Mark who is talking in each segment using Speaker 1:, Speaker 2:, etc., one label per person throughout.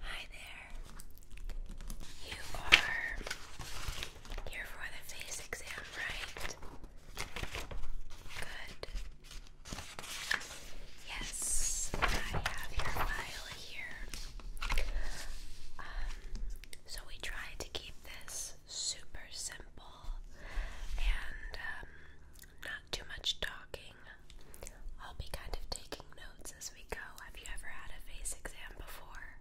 Speaker 1: Hi there. You are here for the face exam, right? Good. Yes, I have your file here. Um, so we try to keep this super simple and um, not too much talking. I'll be kind of taking notes as we go. Have you ever had a face exam before?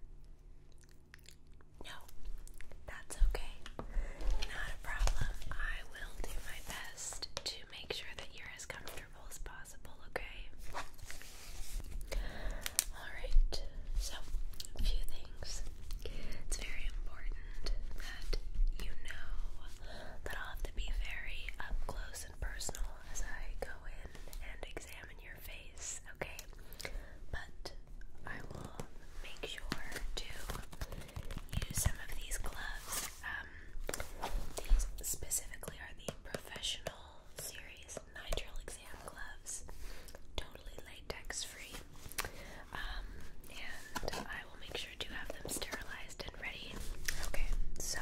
Speaker 1: No, that's okay. Not a problem. I will do my best to make sure that you're as comfortable as possible, okay? Alright, so a few things. It's very important that you know that I'll have to be very up close and personal as I go in and examine your face, okay? But I will make sure to use some of these gloves. Um, these specifically are the professional series nitrile exam gloves, totally latex free. Um, and I will make sure have them sterilized and ready. Okay, so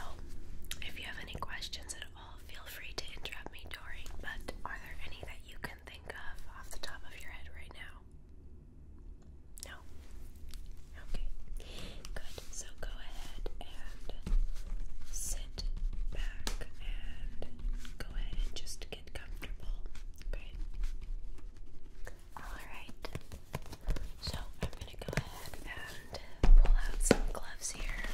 Speaker 1: if you have any questions at all, feel free to interrupt me during, but are there any that you can think of off the top of your head right now? No? Okay. Good. So go ahead and sit back and go ahead and just get comfortable. Okay? Alright. So I'm going to go ahead and pull out some gloves here.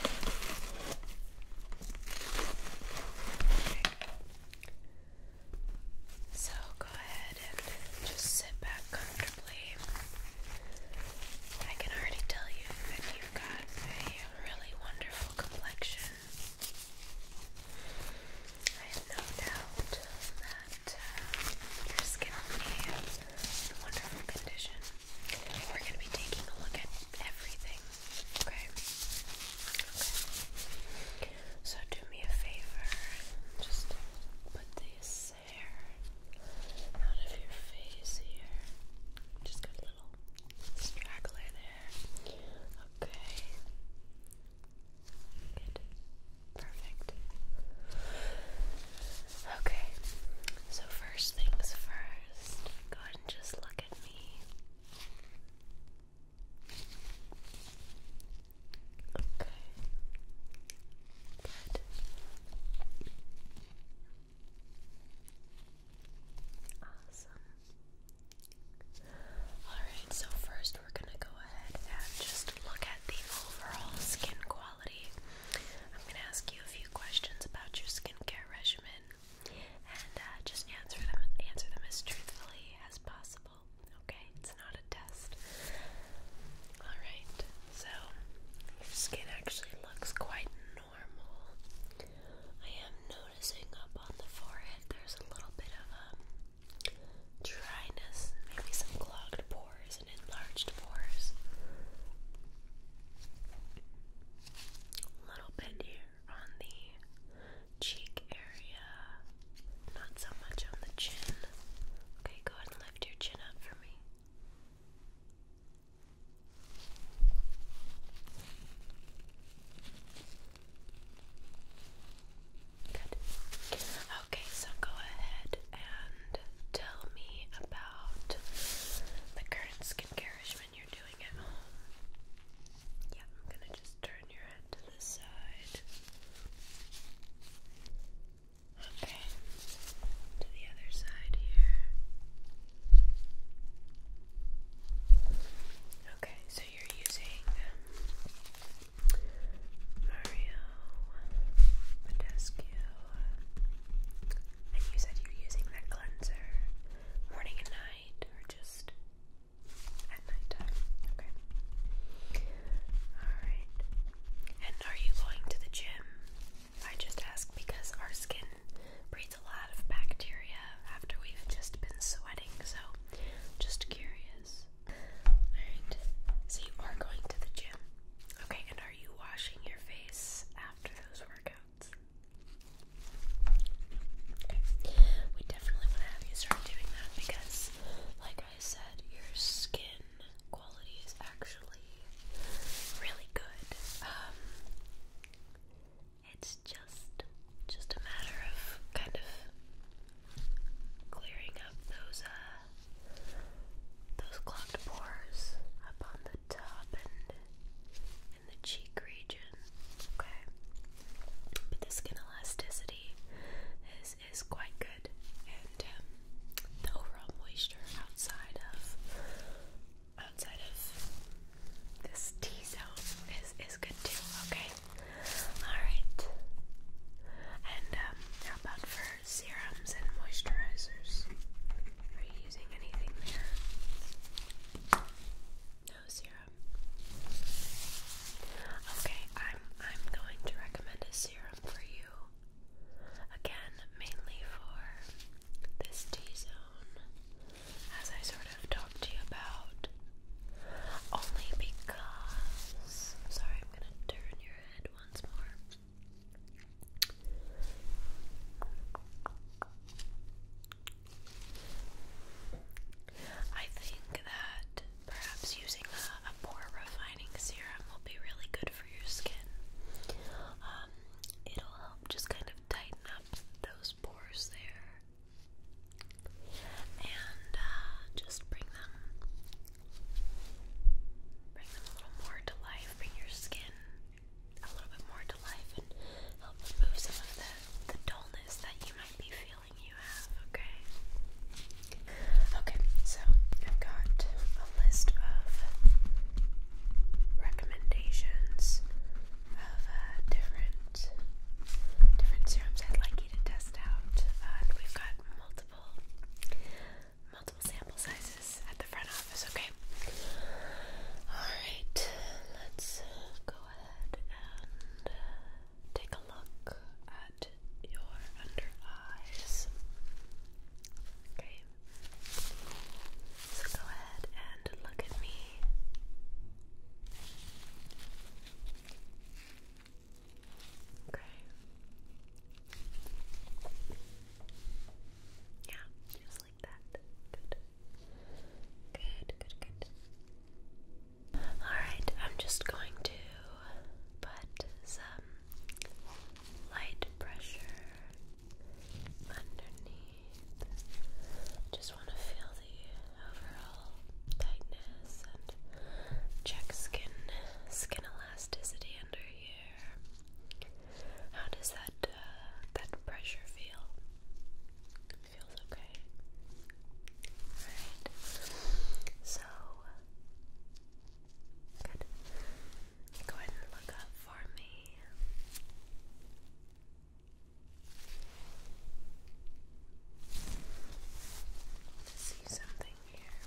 Speaker 1: So go ahead and just sit back comfortably. I can already tell you that you've got a really wonderful complexion. I have no doubt that and uh, your skin will be in wonderful condition. We're going to be taking a look at everything, okay? Okay. So do me a favor, just put this hair out of your face here. Just got a little straggler there. Okay. Good. Perfect. Okay, so first things first, go ahead and just look at me. Okay. Good. Awesome. Alright, so first we're going to go ahead and just look at the overall skin quality. I'm going to ask you a few questions about your skincare regimen and uh, just answer them answer them as truthfully as possible. Okay? It's not a test. All right. So, your skin actually looks quite normal. I am noticing up on the forehead there's a little bit of um, dryness, maybe some clogged pores and enlarged pores. A little bit here on the cheek area, not so much on the chin. Okay, go ahead and lift your chin up for me. Okay, so go ahead and tell me about the current skincare regimen you're doing at home. Yeah, I'm gonna just turn your head to the side. Okay, to the other side here. Okay, so you're using Mario Badescu. And you said you're using that cleanser morning and night, or just at nighttime? Okay. Alright. And are you going to the gym? I just ask because our skin breeds a lot of bacteria after we've just been sweating, so just curious so you are going to the gym. Okay, and are you washing your face after those workouts? we definitely want to have you start doing that because, like I said, your skin quality is actually really good. Um, it's just just a matter of kind of clearing up those uh, those clogged pores up on the top and in the cheek region. Okay. But the skin elasticity is is quite good and um, the overall moisture outside of outside of this T zone is is good too, okay? Alright. And um, how about for serums and moisturizers? Are you using anything there? No serum. Okay, I'm I'm going to recommend a serum for you. Again, mainly for this T zone, as I sort of talked to you about. Only because sorry, I'm gonna turn I think that perhaps using a, a pore refining serum will be really good for your skin. Um, it'll help just kind of tighten up those pores there and uh, just bring them Bring them a little more to life. Bring your skin a little bit more to life and help remove some of the, the dullness that you might be feeling you have, okay? Okay, so I've got a list of recommendations of uh, different different serums I'd like you to test out. we've got multiple multiple sample sizes at the front office, okay? Alright, let's go ahead and uh, take a look at your under eyes. Okay. So go ahead and look at me. Okay. Yeah, just like that. Good. Good, good, good. Alright, I'm just going to put some light pressure underneath. Just want to feel the overall tightness and check skin skin elasticity under here. How does that uh, that pressure feel? feels okay. Alright. So good. Go ahead and look up for me to see something here.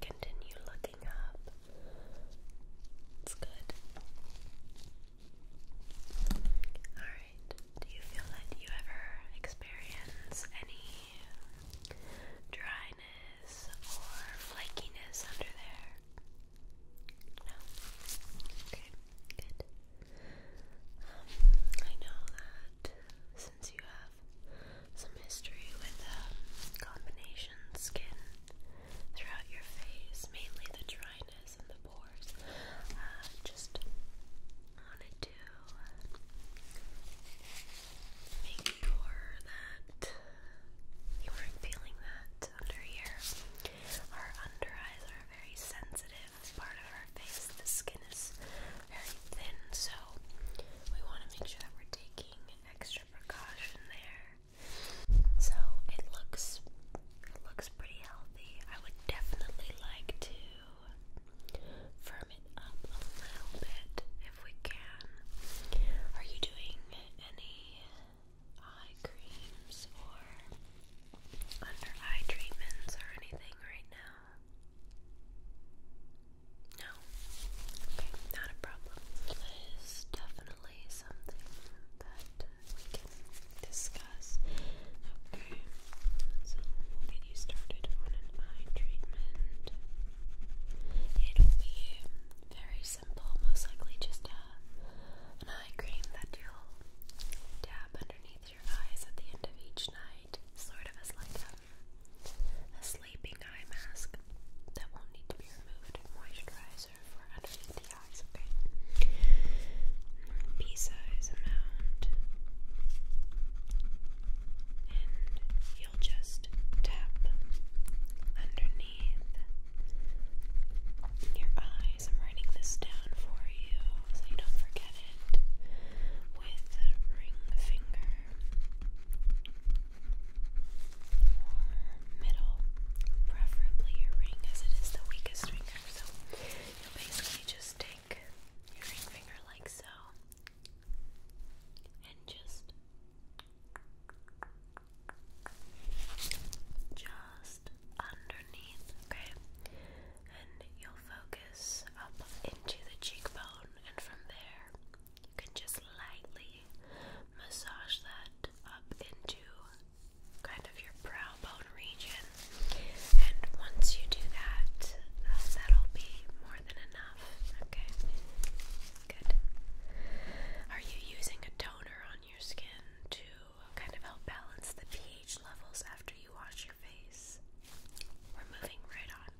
Speaker 1: Continue looking up. It's good. Alright, do you feel that you ever experience any dry or flakiness under there? No? Okay, good. Um, I know that since you have some history with um, combination skin throughout your face, mainly the dryness and the pores, uh, just wanted to make sure that you aren't feeling that under here. Our under eyes are a very sensitive part of our face. The skin is very thin, so we want to make sure that we're taking extra precaution there. So it looks looks pretty healthy. I would definitely like to firm it up a little bit we can. Are you doing any eye creams or under eye treatments or anything right now? No? Okay, not a problem. definitely something that we can discuss. Okay, you started on an eye treatment. It'll be very simple, most likely just a, an eye cream that you'll dab underneath your eyes at the end of each night, sort of as like a, sleeping eye mask that won't need to be removed, moisturizer for underneath the eyes, okay? Pea size amount. And you'll just tap underneath your eyes. I'm writing this down for you so you don't forget it with ring finger middle, preferably your ring as it is the weakest finger. So you'll basically just take your ring finger like so and just just underneath, okay? And you'll focus up into the cheekbone and from there you can just lightly massage that up into kind of your brow bone region. And once you do that, uh, that'll be more than enough. Okay. Good. Are you using a toner on your skin to kind of help balance the pH levels after you wash your face? We're moving right on.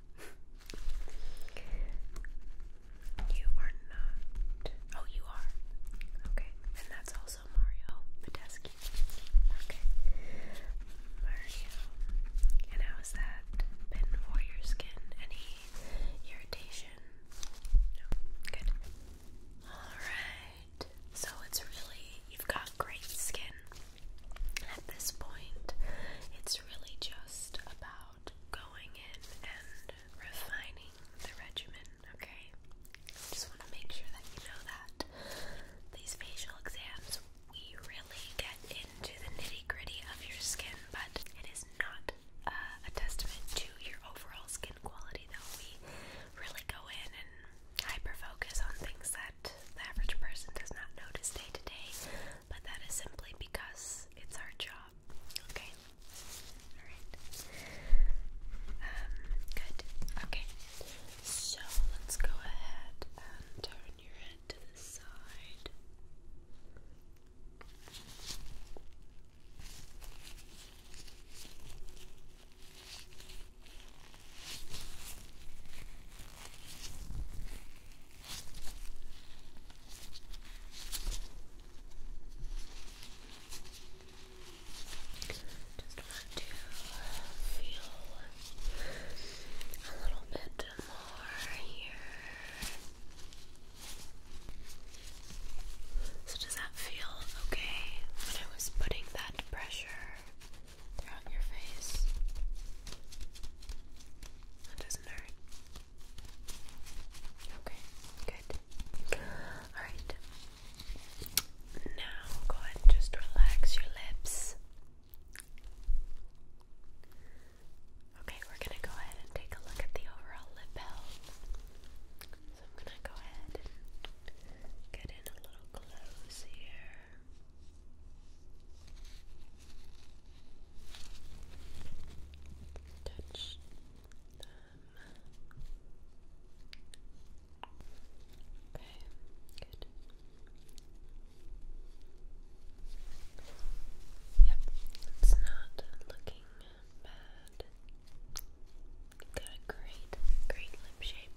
Speaker 1: you are not. Oh, you are. Okay. And that's also Mario Badesky. Okay. Mario and how has that been for your skin? Any irritation? No? Good. Alright. So it's really, you've got great skin. At this point, it's really just about going in and refining the regimen, okay? I just want to make sure that you know that. These facial exams we really get into the nitty gritty of your skin, but it is not uh, a testament to your overall skin quality, though. We really go in and hyper focus on things that the average person does not notice day to day, but that is simply because it's our job. Okay? Alright. Um, good. Okay. So let's go ahead and turn your to the side. Just want to feel a little bit so, does that feel okay when I was putting that pressure throughout your face? That doesn't hurt. Okay, good. Alright. Now go ahead and just relax your lips. Okay, we're going to go ahead and take a look at the overall lip health. So I'm going to go ahead and get in a little close Touch them. Okay, good. Yep, it's not looking bad. Got a great, great lip shape.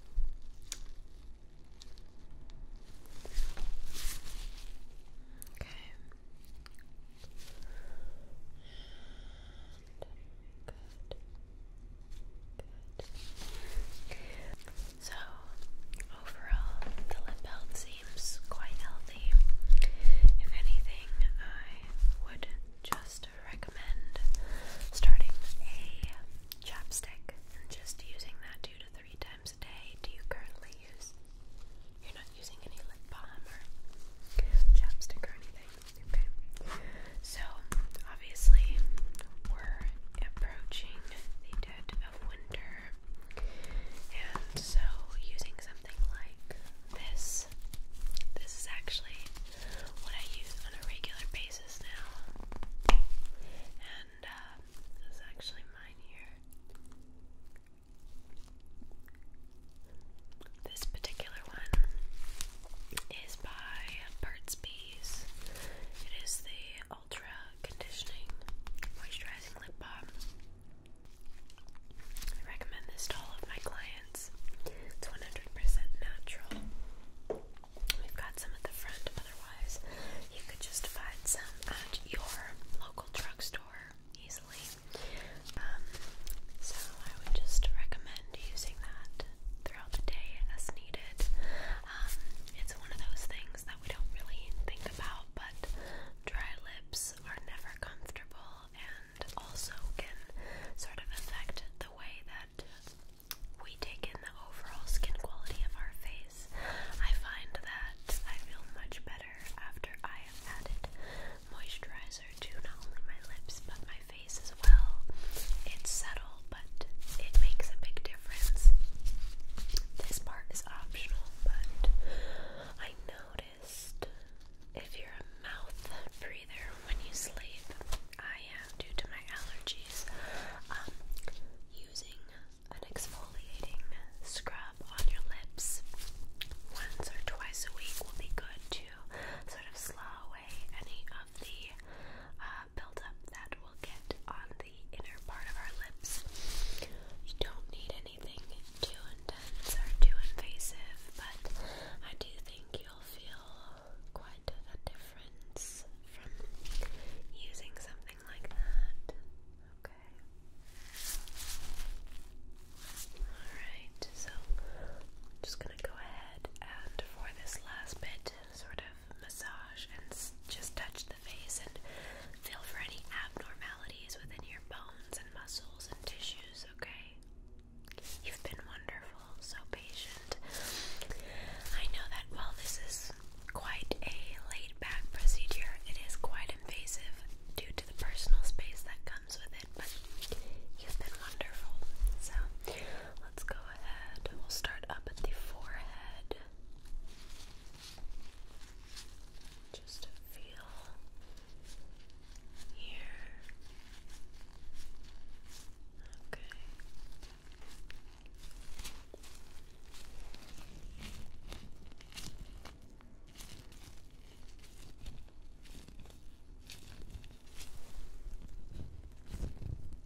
Speaker 1: Okay. good. Good. So, overall, the lip health seems quite healthy. If anything, I would just recommend starting a chapstick just using that two to three times a day. Do you currently use? You're not using any lip balm or chapstick or anything. Okay. So, obviously, we're approaching of winter. And so, using something like this, this is actually what I use on a regular basis now. And uh, this is actually mine here. This particular one is by Burt's Bees. It is the Ultra Conditioning Moisturizing Lip Balm. I recommend this to all of my clients. It's 100% natural. We've got some at the front, otherwise, you could just find some at your local drugstore easily. Um, so, I would just recommend using that throughout the day as needed. Um, it's one of those things that we don't really think about, but dry lips are never comfortable and also can sort of affect the way that we take in the overall skin quality of our face. I find that I feel much better after I have added moisturizer to not only my lips but my face as well. It's subtle it makes a big difference. This part is optional, but I noticed if you're a mouth breather when you sleep, I am due to my allergies, um, using an exfoliating scrub on your lips once or twice a week will be good to sort of slow away any of the uh, buildup that will get on the inner part of our lips. You don't need anything too intense or too invasive, but I do think you'll feel quite a difference from using something like that. Okay. Alright, so I'm just gonna go ahead and for this last bit, sort of massage and just touch the face and feel for any abnormalities within your bones and muscles and tissues, okay? You've been wonderful, so patient. I know that while this is quite a laid back procedure, it is quite invasive due to the personal space that comes with it, but you've been wonderful. So, Let's go ahead. We'll start up at the forehead. Just feel here. Okay.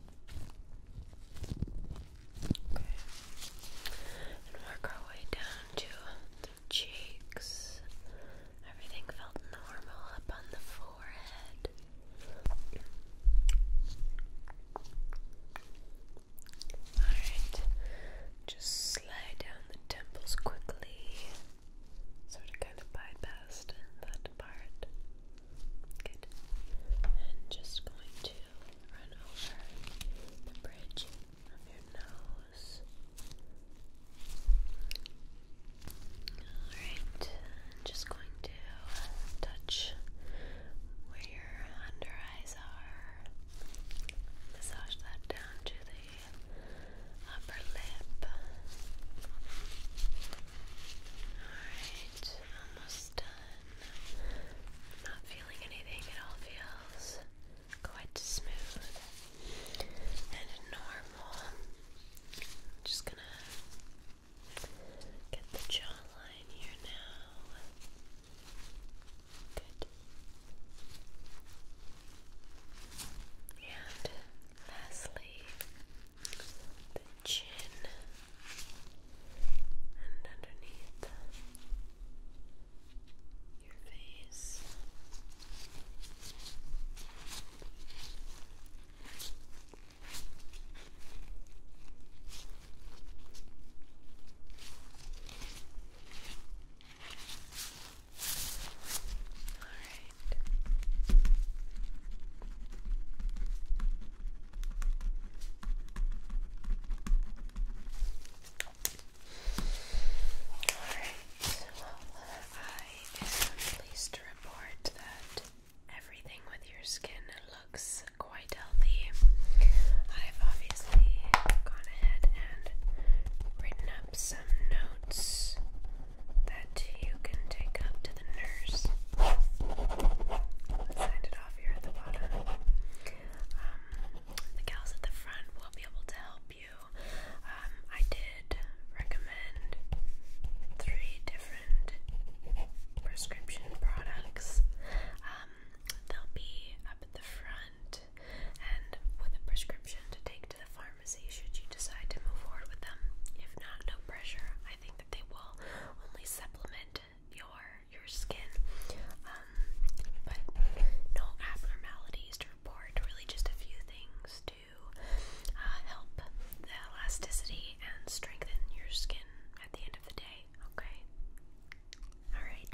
Speaker 1: Okay. And work our way down to the cheeks. Everything felt normal up on the forehead. Alright. Just slide down the temples quickly. Sort of kind of bypassed that part. Good. And just going to run over the bridge of your nose. Alright, just going to uh, touch where your under eyes are. Massage that down to the upper lip. Alright, almost done. Not feeling anything, it all feels quite smooth and normal. just gonna get the jawline here now. Good. And lastly, the chin and underneath your face. All right. Alright, well, I am pleased to report that everything with your skin looks quite healthy. I've obviously gone ahead and written up some notes that you can take up to the nurse. Sign it off here at the bottom. Um, the gals at the front will be able to help you. Um, I did recommend three different prescription products. Um, they'll be up at the front and with a prescription to take to the pharmacy should you decide to move forward with them. If not, no pressure. I think that they will only supplement your your skin. Um, but no abnormalities to report. Really, just a few things to uh, help the elasticity and strengthen your skin at the end of the day. Okay. All right.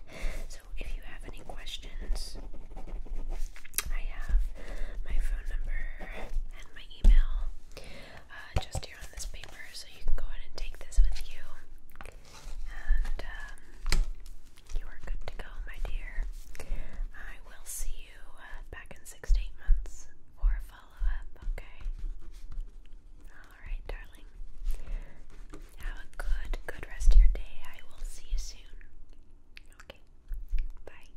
Speaker 1: So if you have any questions, I have my phone number and my email uh, just here on this paper, so you can go ahead and take this with you. And um, you are good to go, my dear. I will see you uh, back in six to eight months for a follow up, okay? Alright, darling. Have a good, good rest of your day. I will see you soon. Okay, bye.